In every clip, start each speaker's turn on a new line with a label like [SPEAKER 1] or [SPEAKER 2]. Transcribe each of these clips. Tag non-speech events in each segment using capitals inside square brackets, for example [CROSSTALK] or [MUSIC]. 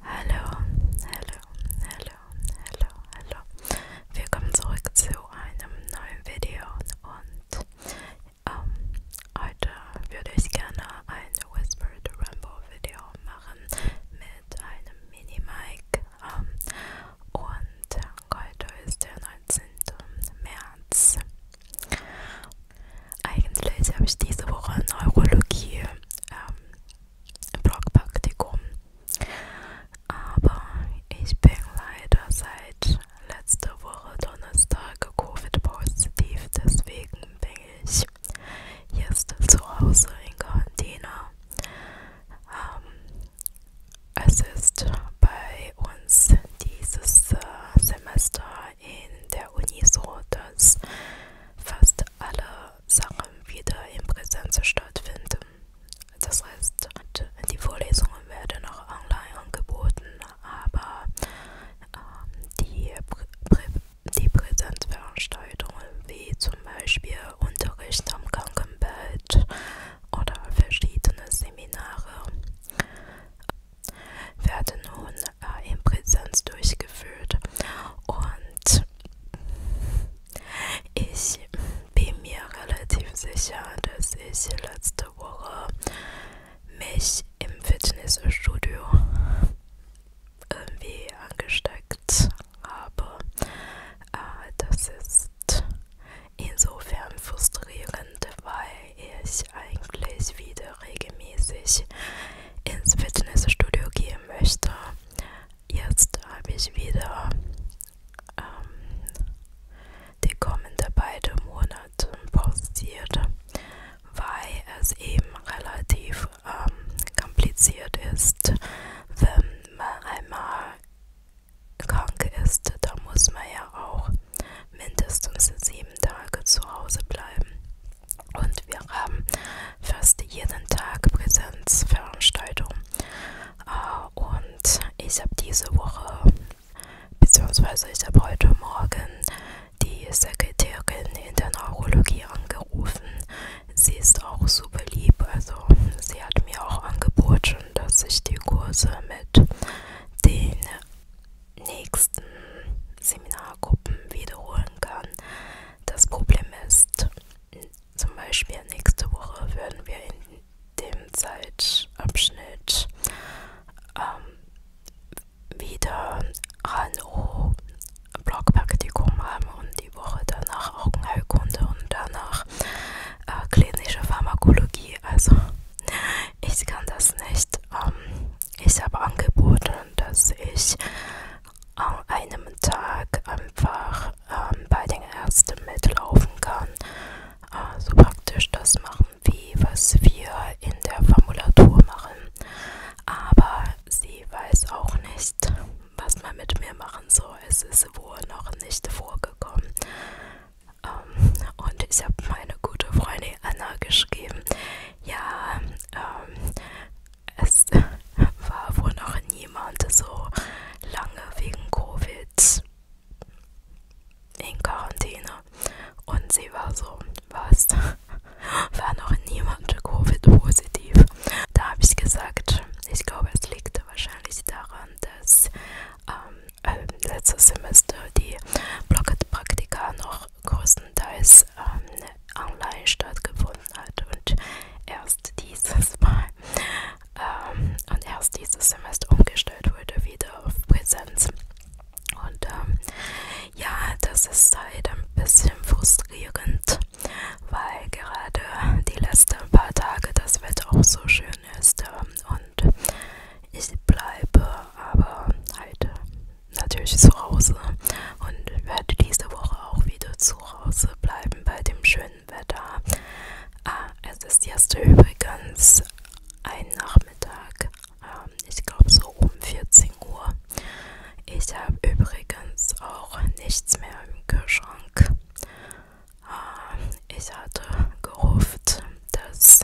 [SPEAKER 1] Hallo, hallo, hallo, hallo, hallo. Willkommen zurück zu einem neuen Video und ähm, heute würde ich gerne ein Whispered Rambo Video machen mit einem Mini-Mic ähm, und heute ist der 19. März eigentlich habe ich diese Woche Neurologie ähm, im Blogpraktikum, aber ich bin leider seit letzter Woche Donnerstag Covid-positiv, deswegen bin ich jetzt zu Hause in Quarantäne. Ähm, es ist bei uns dieses äh, Semester in der Uni so, dass fast alle Sachen wieder in Präsenz stattfinden. Das heißt, die Vorlesungen werden auch online angeboten, aber äh, die, Prä Prä die Präsenzveranstaltungen wie zum Beispiel Unterricht am Krankenbett oder verschiedene Seminare werden nun äh, in Präsenz durchgeführt und ich bin mir relativ sicher, dass ich letzte Woche mich im Fitnessstudio irgendwie angesteckt habe. Äh, das ist insofern frustrierend, weil ich eigentlich wieder regelmäßig ins Fitnessstudio gehen möchte. Jetzt habe ich wieder ähm, die kommenden beiden Monate pausiert, weil es eben relativ ähm, kompliziert ist, wenn man einmal krank ist, da muss man ja auch mindestens sieben Tage zu Hause bleiben. Und wir haben fast jeden Tag Präsenzveranstaltungen. Äh, und ich habe diese Woche, beziehungsweise ich habe heute Morgen die Sekretärin in der Neurologie angerufen. Sie ist auch super lieb, also sie hat mir auch angeboten, dass ich die Kurse mit den nächsten Seminargruppen wiederholen kann. Das Problem ist, zum Beispiel nächste Woche werden wir in dem Zeitabschnitt ähm, wieder HNO Blockpraktikum haben und die Woche danach Augenheilkunde und danach äh, klinische Pharmakologie. Also [LAUGHS] ich kann das nicht ähm, ich habe angeboten, dass ich an einem Tag einfach ähm, bei den Ärzten mitlaufen kann. Äh, so praktisch das machen, wie was wir in der Formulatur machen. Aber sie weiß auch nicht, was man mit mir machen soll. Es ist wohl noch nicht vorgekommen. Ähm, und ich habe meine gute Freundin Anna geschrieben, ja, ähm, es [LAUGHS] war wohl noch niemand so lange wegen Covid in Quarantäne. Und sie war so, was? [LAUGHS] War noch niemand Covid-positiv? Da habe ich gesagt, ich glaube, es liegt wahrscheinlich daran, dass ähm, äh, letztes Semester die Blockpraktika noch größtenteils ähm, online stattgefunden hat und erst dieses Mal ähm, und erst dieses Semester umgestellt wurde wieder auf Präsenz. Und ähm, ja, das ist halt ein bisschen frustrierend, weil gerade die letzten paar Tage das Wetter auch so schön ist ähm, und ich bleibe aber halt natürlich zu Hause und werde diese Woche auch wieder zu Hause bleiben bei dem schönen Wetter. Ah, es ist jetzt übrigens ein Nachmittag, ähm, ich glaube so um 14 Uhr. Ich habe übrigens auch nichts mehr im Kühlschrank. Ähm, ich hatte gehofft, dass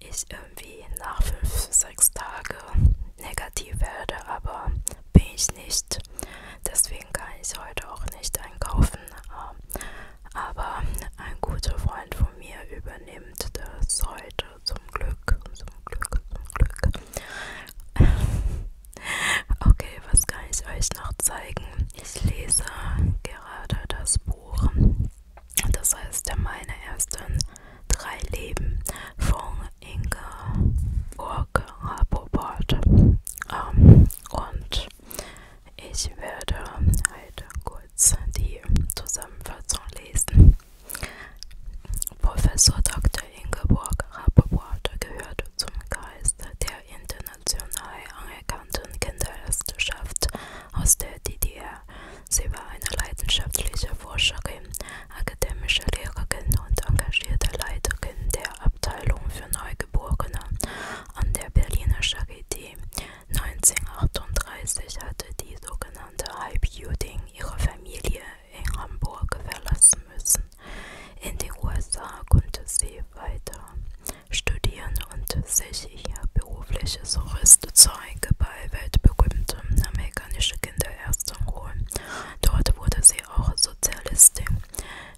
[SPEAKER 1] ich irgendwie nach 5, 6 Tagen negativ werde, aber bin ich nicht. Deswegen kann ich heute auch nicht einkaufen. Aber ein guter Freund von mir übernimmt das heute zum Glück. Zum Glück, zum Glück. [LAUGHS] Okay, was kann ich euch noch zeigen? Ich lese gerade das Buch das heißt, meine ersten drei Leben von Ingeborg Rappoport. Ähm, und ich werde heute halt kurz die Zusammenfassung lesen. Professor Dr. Ingeborg Rappoport gehört zum Kreis der international anerkannten Kinderärzteschaft aus der DDR. Sie war eine leidenschaftliche Forscherin, akademische Lehrerin und engagierte Leiterin der Abteilung für Neugeborene an der Berliner Charité. 1938 hatte die sogenannte Halbjudin ihre Familie in Hamburg verlassen müssen. In den USA konnte sie weiter studieren und sich ich hier berufliches Jurist Zeug bei weltberühmten amerikanischen Kinderärzten holen. Dort wurde sie auch Sozialistin.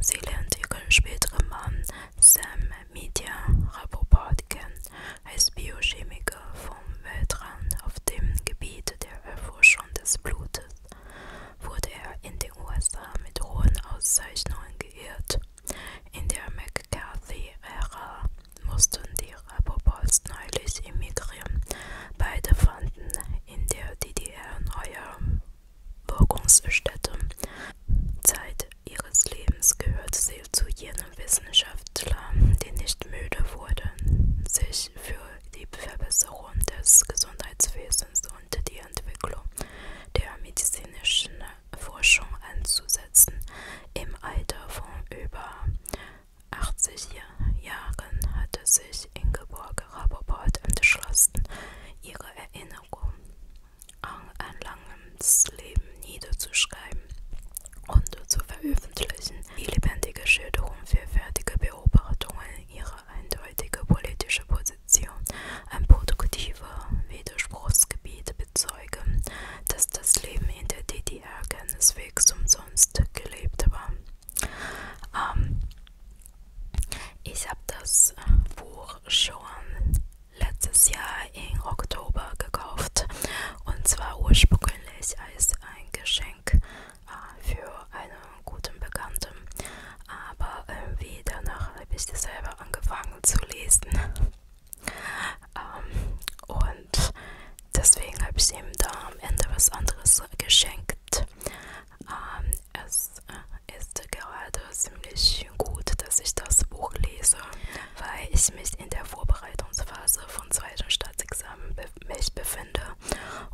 [SPEAKER 1] Sie lernt ihren späteren Mann Sam Media Rappoport kennen, als Biochemiker vom Weltrand auf dem Gebiet der Erforschung des Blutes. Wurde er in den USA mit hohen Auszeichnungen geehrt. In der McCarthy-Ära mussten die Rabobands neulich emigrieren. Beide fanden in der DDR neue Wirkungsstätte. Zeit ihres Lebens gehörte sie zu jenem Wissenschaftler, die nicht müde wurden, sich für die Verbesserung des Gesundheitswesens und die Entwicklung der medizinischen Forschung einzusetzen. Im Alter von über 80 Jahren hatte sich Ingeborg Rappaport entschlossen, ihre Erinnerungen an ein langes Leben niederzuschreiben und zu veröffentlichen. Die lebendige Schilderung vielfältiger Beobachtungen ihrer eindeutige politische Position, ein produktiver Widerspruchsgebiet bezeugen, dass das Leben in der DDR keineswegs umsonst gelebt war. Ähm, ich habe das Buch schon letztes Jahr im Oktober gekauft und zwar ursprünglich als ein Geschenk äh, für einen guten Bekannten, aber irgendwie danach habe ich das selber angefangen zu lesen ähm, und deswegen habe ich ihm da am Ende was anderes geschenkt. Ähm, es äh, ist gerade ziemlich gut, dass ich das Buch lese, weil ich mich in der Vorbereitungsphase vom zweiten Staatsexamen be mich befinde.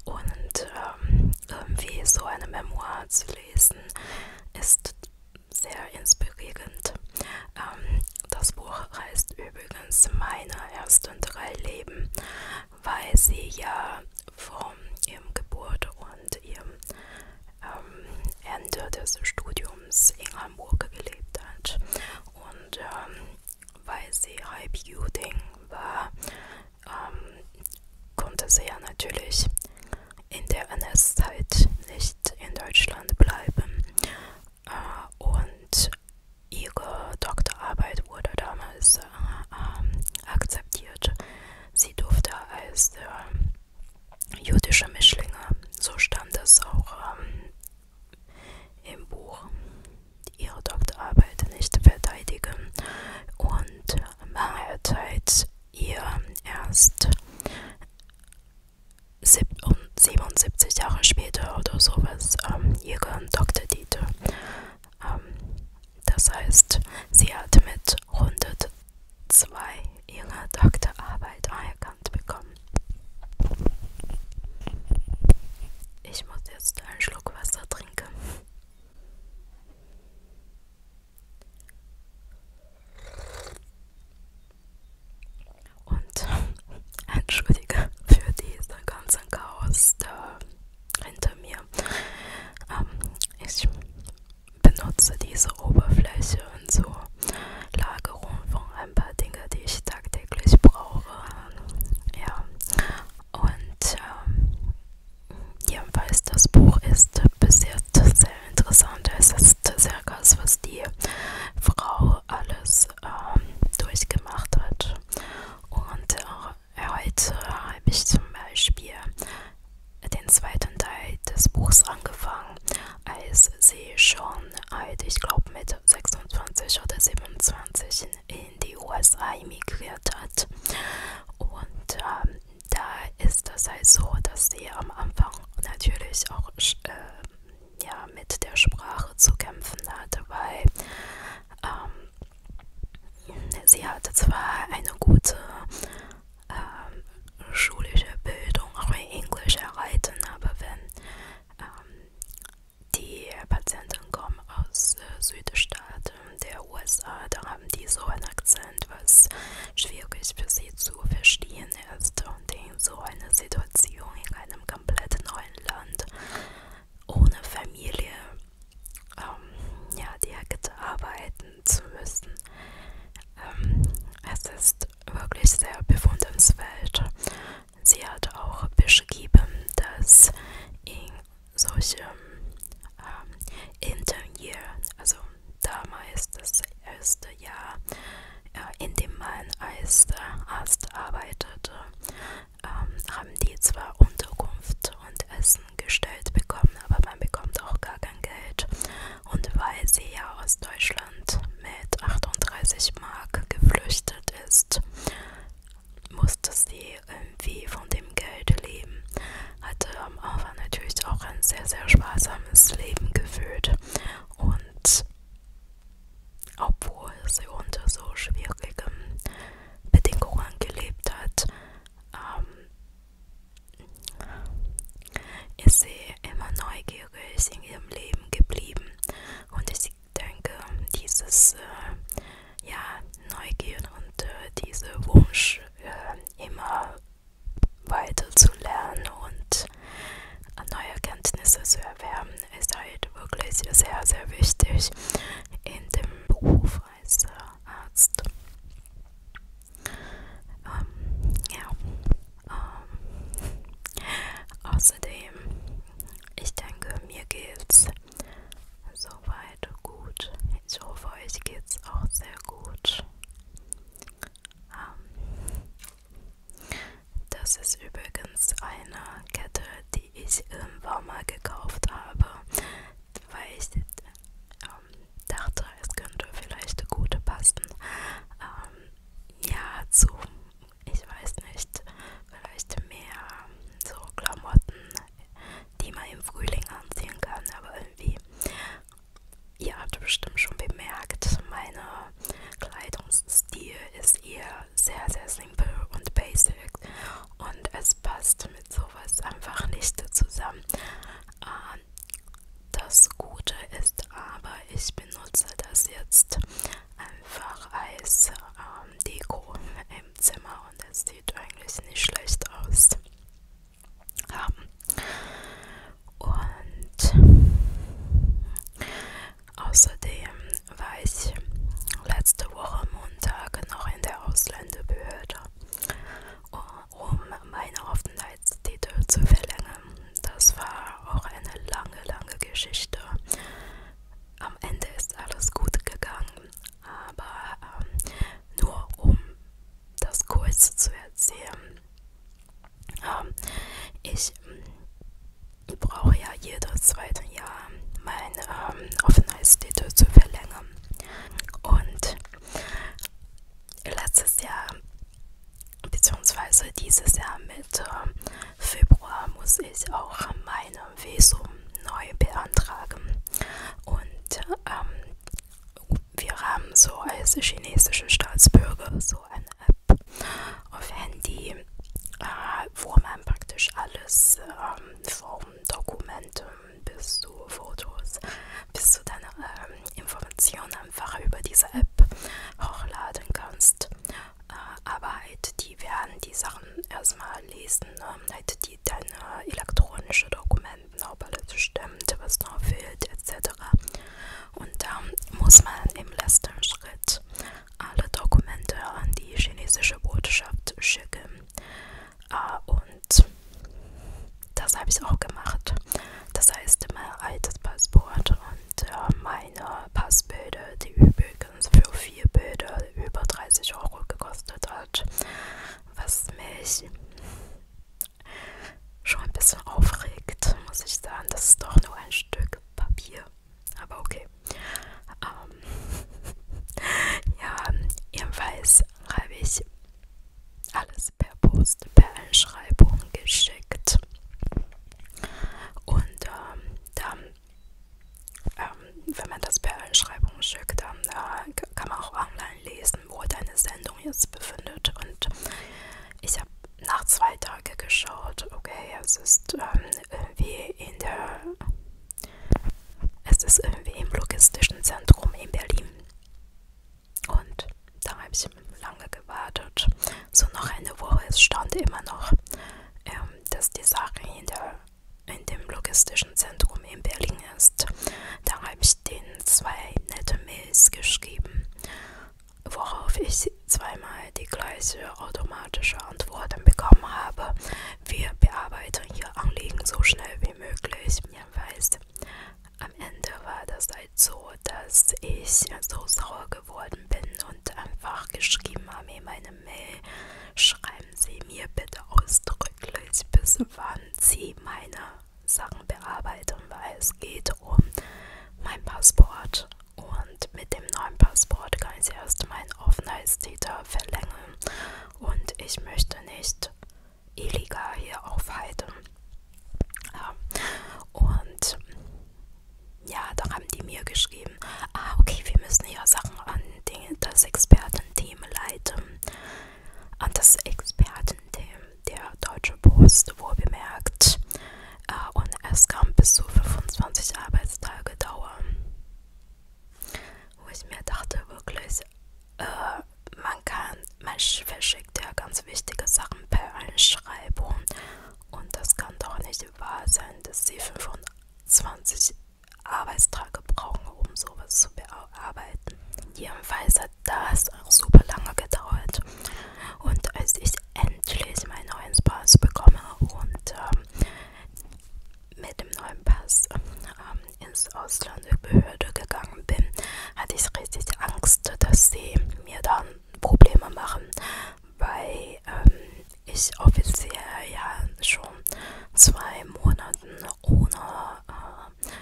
[SPEAKER 1] Und ähm, irgendwie so eine Memoir zu lesen, ist sehr inspirierend. Ähm, das Buch heißt übrigens Meine ersten drei Leben, weil sie ja von ihrem Geburt und ihrem ähm, Ende des Studiums in Hamburg gelebt hat. Und ähm, weil sie High Beauty war, ähm, konnte sie ja natürlich in der NS-Zeit nicht in Deutschland bleiben äh, und ihre Doktorarbeit wurde damals äh, äh, akzeptiert. Sie durfte als äh, jüdische Mischlinge, so stand es auch äh, im Buch, ihre Doktorarbeit nicht verteidigen. Und lange Zeit ihr erst 77 Jahre später oder sowas ähm, ihren Doktortitel. Ähm, das heißt, sie hat mit 102 ihre Doktorarbeit anerkannt bekommen. Ich muss jetzt einen Schluck Wasser trinken. Und [LAUGHS] entschuldige für diesen ganzen Chaos da hinter mir. Ähm, ich benutze diese Oberfläche und so Lagerung von ein paar Dingen, die ich tagtäglich brauche. Ja. Und ähm, jedenfalls das Buch ist bis jetzt sehr interessant ist, ist circa das, was die Frau alles ähm, durchgemacht hat. Und äh, heute habe ich zum Beispiel den zweiten Teil des Buchs angefangen, als sie schon alt, ich glaube mit 26 oder 27 in die USA emigriert hat. Und ähm, da ist das halt so, dass sie am Anfang natürlich auch äh, ja mit der Sprache zu kämpfen hatte, weil ähm, sie hatte zwar eine gute ähm, schulische Bildung, auch in Englisch erhalten, aber wenn ähm, die Patienten kommen aus äh, Südstaaten der USA, da haben die so einen Akzent, was schwierig für sie zu verstehen Argentinien ist und in so einer Situation in einem komplett neuen Land ohne Familie ähm, ja, direkt arbeiten zu müssen. Ähm, es ist wirklich sehr bewundernswert. Sie hat auch beschrieben, dass in solchen ähm, Interview, also damals das erste Jahr, äh, in dem man als Arzt arbeitete, ähm, haben die zwar Unterkunft und Essen gestellt bekommen, aber man bekommt auch gar kein Geld. Und weil sie ja aus Deutschland mit 38 Mark geflüchtet ist, musste sie irgendwie von dem Geld leben. Hatte am Anfang natürlich auch ein sehr, sehr sparsames Leben geführt. Und obwohl sie unter so schwierigen Bedingungen gelebt hat, ähm, ist sie immer neugierig in ihrem Leben geblieben. Und ich denke, dieses äh, ja, Neugier und äh, dieser Wunsch, äh, immer weiterzulernen und neue Kenntnisse zu erwerben, ist halt wirklich sehr, sehr wichtig in dem Beruf als äh, Arzt. Ähm, ja. Ähm, außerdem, ich denke, mir geht's soweit gut. Ich hoffe, euch geht's auch sehr gut. Ähm, das ist übrigens eine Kette, die ich im Walmart gekauft habe, weil ich ähm, dachte, es könnte vielleicht gut passen. Ähm, ja, zu, ich weiß nicht, vielleicht mehr so Klamotten, die man im Frühling anziehen kann, aber irgendwie Ihr habt bestimmt schon bemerkt, mein Kleidungsstil ist eher sehr, sehr simpel und basic und es passt mit sowas einfach nicht zusammen. Ähm, das Gute ist aber, ich benutze das jetzt einfach als ähm, Deko im Zimmer und es sieht eigentlich nicht schlecht aus haben. Und außerdem war ich letzte Woche Montag noch in der Ausländerbehörde, um meine Aufenthaltstitel zu verlängern. Das war auch eine lange, lange Geschichte. Am Ende ist alles gut gegangen, aber ähm, nur um das kurz zu erzählen. Ähm, ich ähm, brauche ja jedes zweite Jahr mein ähm, Aufenthaltstitel zu verlängern. Und letztes Jahr, beziehungsweise dieses Jahr mit ähm, Februar, muss ich auch meine Visum neu beantragen. Und ähm, wir haben so als chinesische Staatsbürger so eine App auf Handy, äh, wo man praktisch alles ähm, von Dokumenten bis zu Fotos, bis zu deiner ähm, Informationen einfach über diese App hochladen kannst. Äh, aber halt, die werden die Sachen erstmal lesen, ne? halt die deine elektronische Dokumente Elementen, ob alles stimmt, was noch fehlt, etc. Und dann muss man im letzten Schritt alle Dokumente an die chinesische Botschaft schicken. Ah, und das habe ich auch gemacht. Das heißt, mein altes Passport und äh, meine Passbilder, die übrigens für vier Bilder über 30 Euro gekostet hat, was mich schon ein bisschen aufregt, muss ich sagen. Das ist doch nur ein Stück Papier. Aber okay. Ähm, [LAUGHS] ja, jedenfalls habe ich alles per Post, per Einschreibung geschickt. Und ähm, dann, ähm, wenn man das per Einschreibung schickt, dann äh, kann man auch online lesen, im Uhr deine Sendung jetzt befindet. Und ich habe nach zwei Tagen geschaut, okay, es ist ähm, irgendwie in der, es ist irgendwie im logistischen Zentrum in Berlin. Und da habe ich lange gewartet. So noch eine Woche, es stand immer noch, ähm, dass die Sache in, der, in dem logistischen Zentrum in Berlin ist. Da habe ich denen zwei nette Mails geschrieben, worauf ich zweimal die gleiche automatische Antwort bekommen habe. Wir bearbeiten Ihr Anliegen so schnell wie möglich. Ja, weißt, am Ende war das halt so, dass ich so sauer geworden bin und einfach geschrieben habe in meine Mail, schreiben Sie mir bitte ausdrücklich, bis wann Sie meine Sachen bearbeiten, weil es geht um mein Passport und mit dem neuen Passport kann ich erst meinen Aufenthaltstitel verlängern und ich möchte nicht illegal hier aufhalten. Ja. Und ja, da haben die mir geschrieben, ah okay, wir müssen hier Sachen an den, das Expertenteam leiten an das Expertenteam der Deutschen Post wohlbemerkt äh, und es kam bis zu 25 Arbeitstage Dauer. Wo ich mir dachte, wirklich, äh, man kann, man verschickt ja ganz wichtige Sachen per Einschreibung und das kann doch nicht wahr sein, dass sie 25 Arbeitstage brauchen, um sowas zu bearbeiten. Jedenfalls hat das auch super lange gedauert. Und als ich endlich meinen neuen Pass bekomme und ähm, mit dem neuen Pass ähm, ins Ausland der Behörde gegangen bin, hatte ich richtig Angst, dass sie mir dann Probleme machen, weil ähm, ich offiziell ja schon zwei Monaten ohne äh,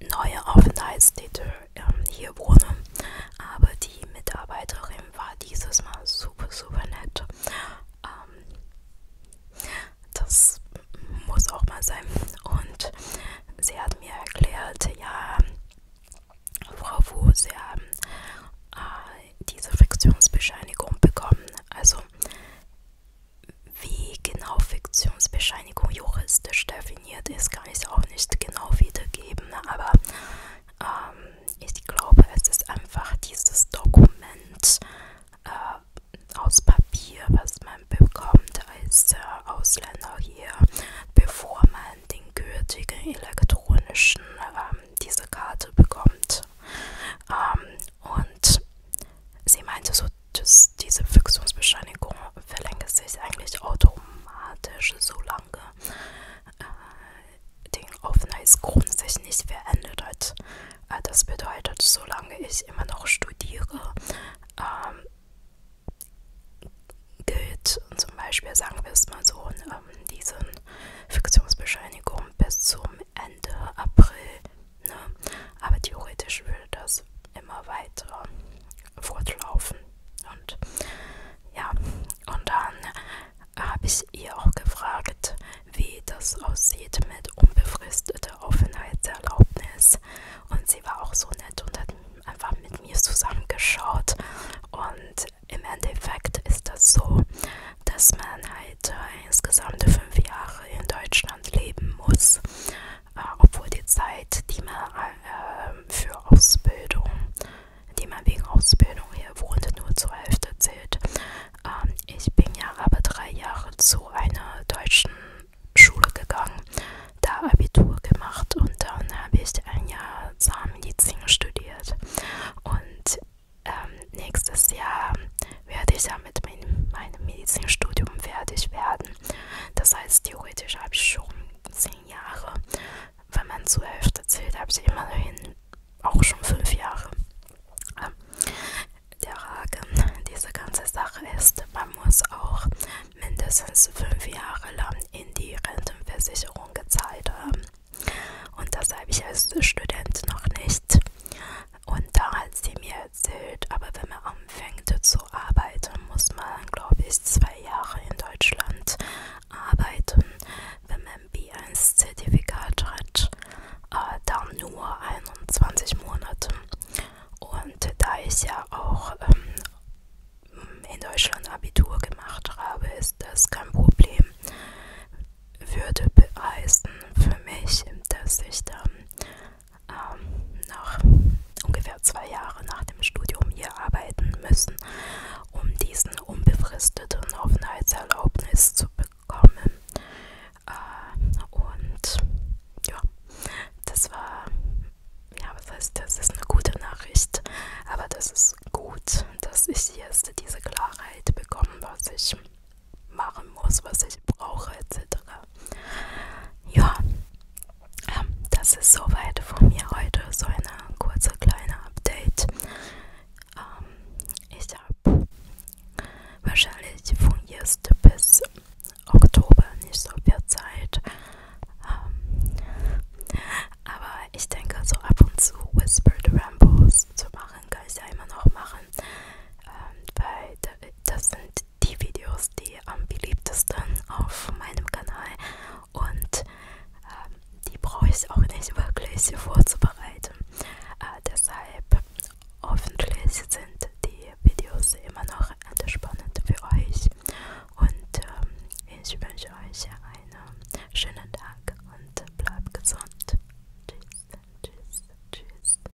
[SPEAKER 1] neue Aufenthaltstitel ähm, hier wohne. Aber die Mitarbeiterin war dieses Mal super, super nett. Ähm, das muss auch mal sein. Und sie hat mir erklärt, ja, Frau Wu, Sie haben äh, diese Fiktionsbescheinigung bekommen. Also wie genau Fiktionsbescheinigung juristisch definiert ist, kann ich auch nicht genau wiedergeben, aber ähm, ich glaube, es ist einfach dieses Dokument äh, aus Papier, was man bekommt als äh, Ausländer hier, bevor man den gültigen elektronischen, ähm, diese Karte bekommt. Ähm, und sie meinte so, das, diese Füchsungsbescheinigung verlängert sich eigentlich automatisch, solange äh, den Aufenthaltsgrund sich nicht verändert hat. Äh, das bedeutet, solange ich immer noch studiere, ähm, gilt zum Beispiel, sagen wir es mal so, ähm, diese Fiktionsbescheinigung bis zum Ende April Ne? Aber theoretisch würde das immer weiter fortlaufen. Und ja, und dann habe ich ihr auch gefragt, wie das aussieht mit unbefristeter Aufenthaltserlaubnis. Und sie war auch so nett und hat einfach mit mir zusammengeschaut. Und im Endeffekt ist das so, dass man halt äh, insgesamt fünf Jahre in Deutschland leben muss äh, obwohl die Zeit, die man äh, für Ausbildung, die man wegen Ausbildung hier wohnte, nur zur Hälfte zählt. Ähm, ich bin ja aber drei Jahre zu einer deutschen Schule gegangen, da Abitur gemacht und dann habe ich ein Jahr Zahnmedizin studiert. Und ähm, nächstes Jahr werde ich ja mit meinem, meinem Medizinstudium fertig werden. Das heißt, theoretisch habe ich schon zehn Jahre. Wenn man zur Hälfte zählt, habe ich immerhin auch schon fünf Jahre. Der Haken dieser ganzen Sache ist, man muss auch mindestens fünf Jahre lang in die Rentenversicherung gezahlt haben. Und das habe ich als Student noch nicht. Und da hat sie mir erzählt, aber wenn man anfängt zu arbeiten, muss man, glaube ich, zwei Jahre in Deutschland arbeiten. Wenn man B1-Zertifikat hat, äh, dann nur 21 Monate. Und da ich ja auch ähm, in Deutschland Abitur gemacht habe, ist das kein Problem. Würde beweisen für mich, dass ich dann ähm, nach ungefähr zwei Jahren nach dem Studium hier arbeiten müssen, um diesen unbefristeten Aufenthaltserlaubnis zu bekommen. Äh, und ja, das war, ja, was heißt, das ist eine gute Nachricht, aber das ist gut, dass ich jetzt diese Klarheit bekomme, was ich machen muss, was ich brauche, etc. Ja, ähm, das ist soweit von mir heute. So eine kurze kleine Update. Ähm, ich habe wahrscheinlich von jetzt bis Oktober nicht so viel Zeit. Ähm, aber ich denke, so ab und zu Whispered Rambles zu machen, kann ich ja immer noch machen. Ähm, weil das sind sind die Videos, die am beliebtesten auf meinem Kanal und äh, die brauche ich auch nicht wirklich vorzubereiten. Äh, deshalb hoffentlich sind die Videos immer noch entspannend für euch und äh, ich wünsche euch einen schönen Tag und bleibt gesund. Tschüss, tschüss, tschüss.